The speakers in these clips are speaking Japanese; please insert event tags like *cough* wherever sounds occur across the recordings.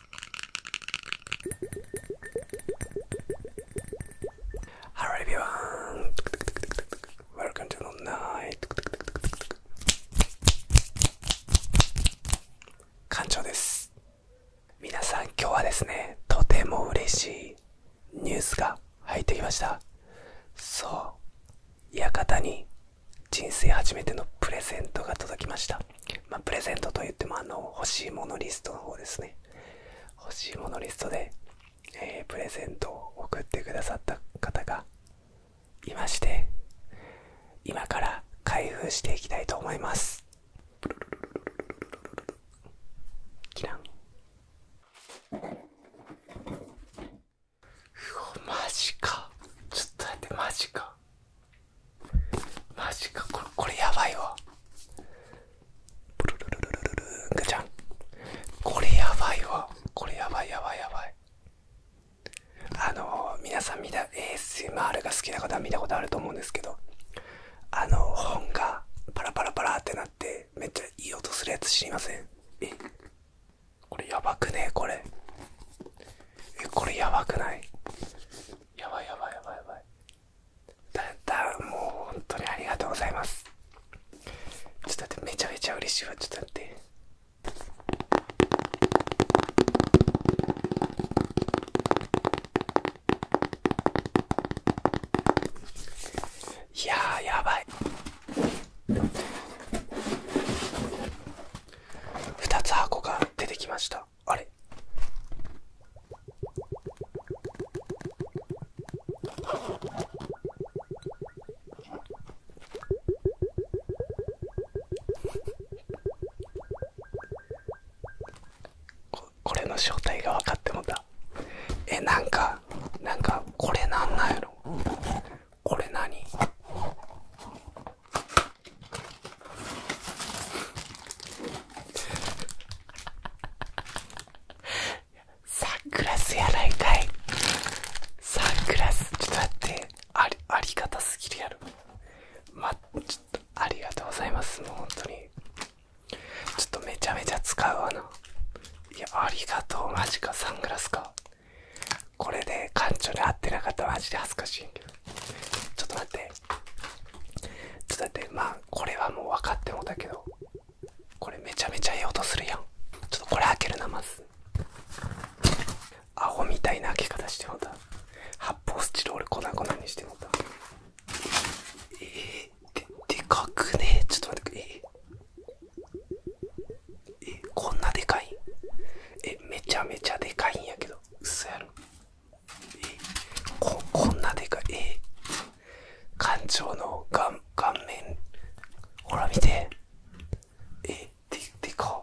Hello e v e r y o n です。皆さん今日はですね、とても嬉しいニュースが入ってきました。そう、館に人生初めてのプレゼントが届きました。まプレゼントといってもあの欲しいものリストの方ですね。欲しいものリストで、えプレゼントを送ってくださった方がいまして、今から開封していきたいと思います。キラうおマジかちょっと待ってマジかマジかこれやばいわプルルルルルルンガちゃんこれやばいわこれやばいやばいやばいあの皆さんみんな ASMR が好きな方は見たことあると思うんですけどあの本がパラパラパラってなってめっちゃいい音するやつ知りませんえこれやばくねこれえこれやばくないやばいやばいやばいやばいだだもう本当にありがとうございますちょっと待ってめちゃめちゃ嬉しいわちょっと待っていややばい2つ箱が出てきましたあれここれの正体が分かってもたえなんかなんかこれなんなんやろこれ何サングラスやないかいサングラスちょっと待ってありがたすぎるやろまちょっとありがとうございますもう本当にちょっとめちゃめちゃ使うわないやありがとうマジかサングラスかこれで館長に合ってなかったらマジで恥ずかしいけどちょっと待ってちょっと待ってまあこれはもう分かってもだけどこれめちゃめちゃええ音するやんちょっとこれ開けるなまずアホみたいな開け方してもた発泡スチロール粉々にしてもたえー、ででかくねちょっと待ってくれえー、こんなでかいえめちゃめちゃでかいんやけど嘘やろここんなでかいえ艦長の顔顔面ほら見てえででか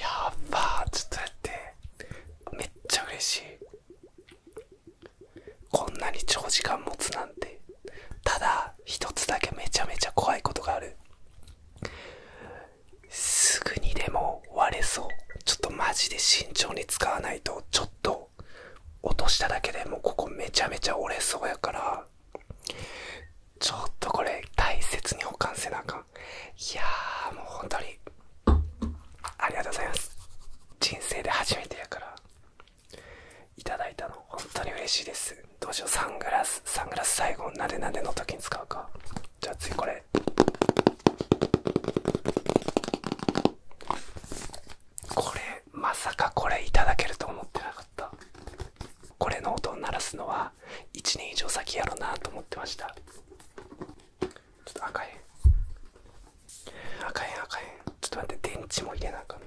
やばーちょっとやってめっちゃ嬉しいこんなに長時間持つなんてただ一つだけめちゃめちゃ怖いことがあるすぐにでも割れそうちょっとマジで慎重に使わないとちょっと落としただけでもうここめちゃめちゃ折れそうやからちょっとこれ大切に保管せなあかんいやーもう本当にありがとうございます人生で初めてやからいただいたの本当に嬉しいですどうしようサングラスサングラス最後なでなでの時に使うかじゃあ次これこれまさかこれいただけると思ってなかったこれの音を鳴らすのは1年以上先やろなと思ってましたちょっと赤い赤い赤いちょっと待って電池も入れなあかんな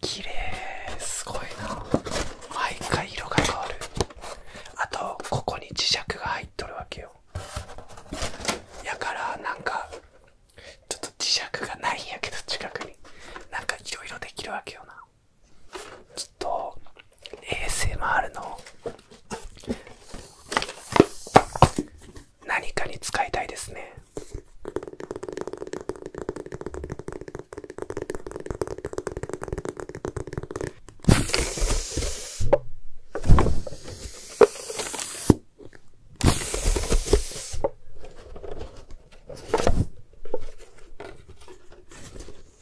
綺麗すごいな毎回色が変わるあとここに磁石が入っとるわけよやからなんかちょっと磁石がないんやけど近くになんかいろいろできるわけよなちょっと ASMR の何かに使いたいですね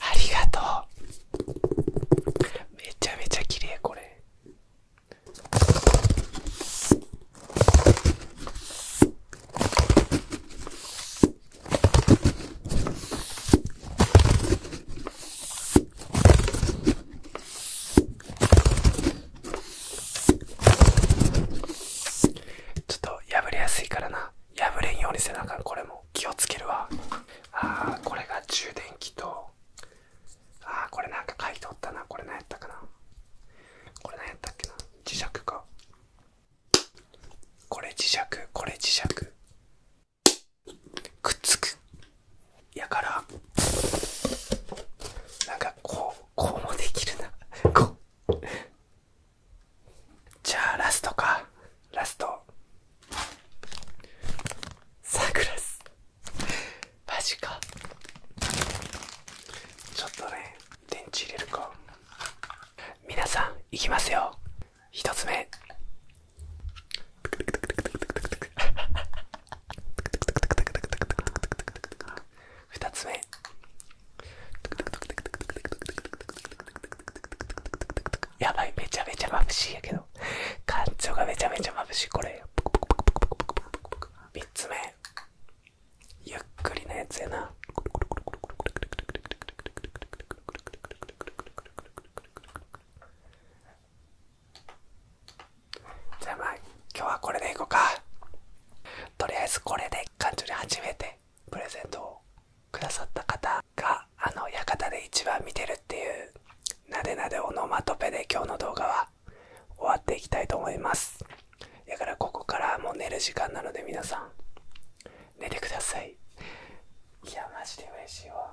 ありがとうめちゃめちゃ綺麗これちょっと破れやすいからな破れんようにせなあかんこれも。気をつけるわああこれが充電器とあこれなんか書いておったなこれ何やったかなこれ何やったっけな磁石かこれ磁石これ磁石くっつくやからなんかこうこうもできるなこうじゃあラストかラストサングラスマジかちょっとね電池入れるかみなさんいきますよ一つ目 *laughs* 二つ目やばいめちゃめちゃ眩しいやけど感情がめちゃめちゃ眩しいこれ3つ目ゆっくりなやつやなじゃあまあ今日はこれでいこうかとりあえずこれで館長に初めてプレゼントをくださった方があの館で一番見てるっていうなでなでオノマトペで今日の動画は終わっていきたいと思いますだからここからもう寝る時間なので皆さん寝てくださいいやマジで嬉しいわ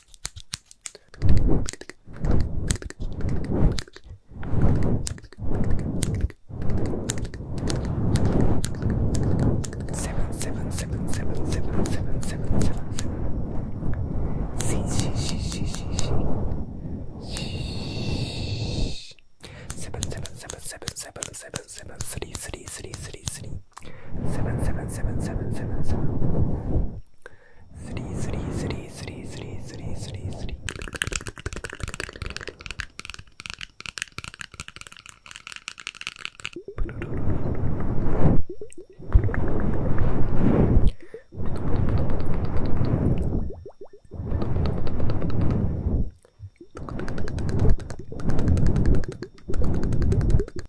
seven seven seven seven seven seven three three three three three seven seven seven seven seven seven three three three three three three three three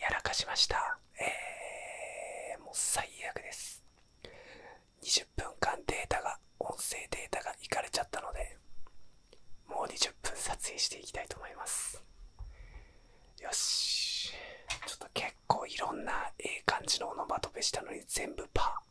やらかしました。えー、もう最悪です。20分間データが、音声データがいかれちゃったので、もう20分撮影していきたいと思いますよしちょっと結構いろんなええ感じのオノマトペしたのに全部パー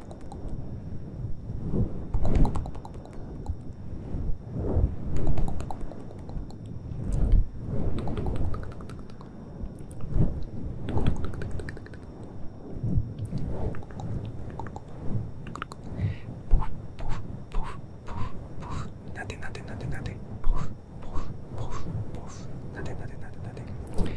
なでなでなでなでポフポフポフポフなでなでなでなで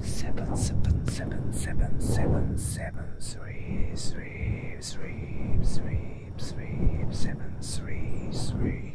seven seven seven seven seven seven three three three three three seven three three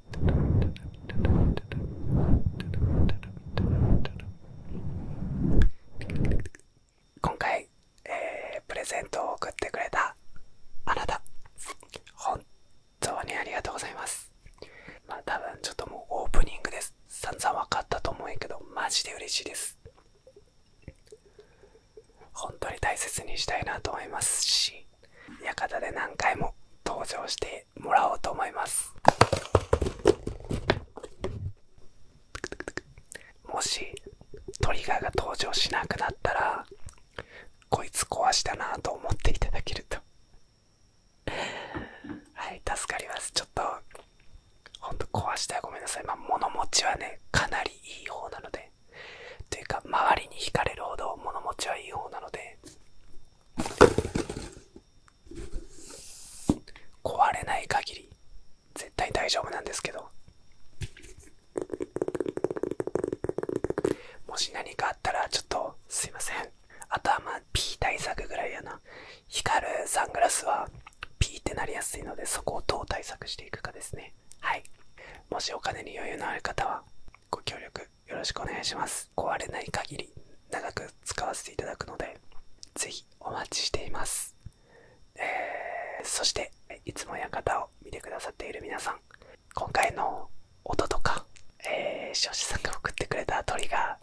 今回、えプレゼントを送ってくれたあなた本当にありがとうございますまあ多分ちょっともうオープニングです散々分かったと思うけどマジで嬉しいです本当に大切にしたいなと思いますし館で何回も登場してもらおうと思いますもしトリガーが登場しなくなったらこいつ壊したなと思っていただけるとはい助かりますちょっとほんと壊してらごめんなさいまあ物持ちはねかなりいい方なのでというか周りに惹かれるほど物持ちはいい方なので壊れない限り絶対大丈夫なんですけどもし何かあったらちょっとすいませんあとはまあ対策ぐらいやな光るサングラスはピーってなりやすいのでそこをどう対策していくかですねはいもしお金に余裕のある方はご協力よろしくお願いします壊れない限り長く使わせていただくのでぜひお待ちしています、えそしていつも館を見てくださっている皆さん今回の音とかえー、視聴者さんが送ってくれた鳥が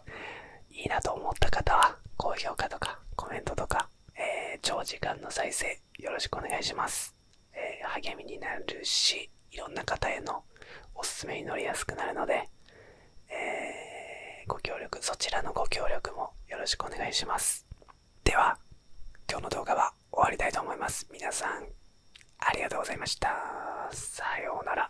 いいなと思った方は高評価とかコメントとか、え長時間の再生よろしくお願いします、え励みになるしいろんな方へのおすすめに乗りやすくなるので、ご協力、そちらのご協力もよろしくお願いします。では、今日の動画は終わりたいと思います。皆さん、ありがとうございました。さようなら。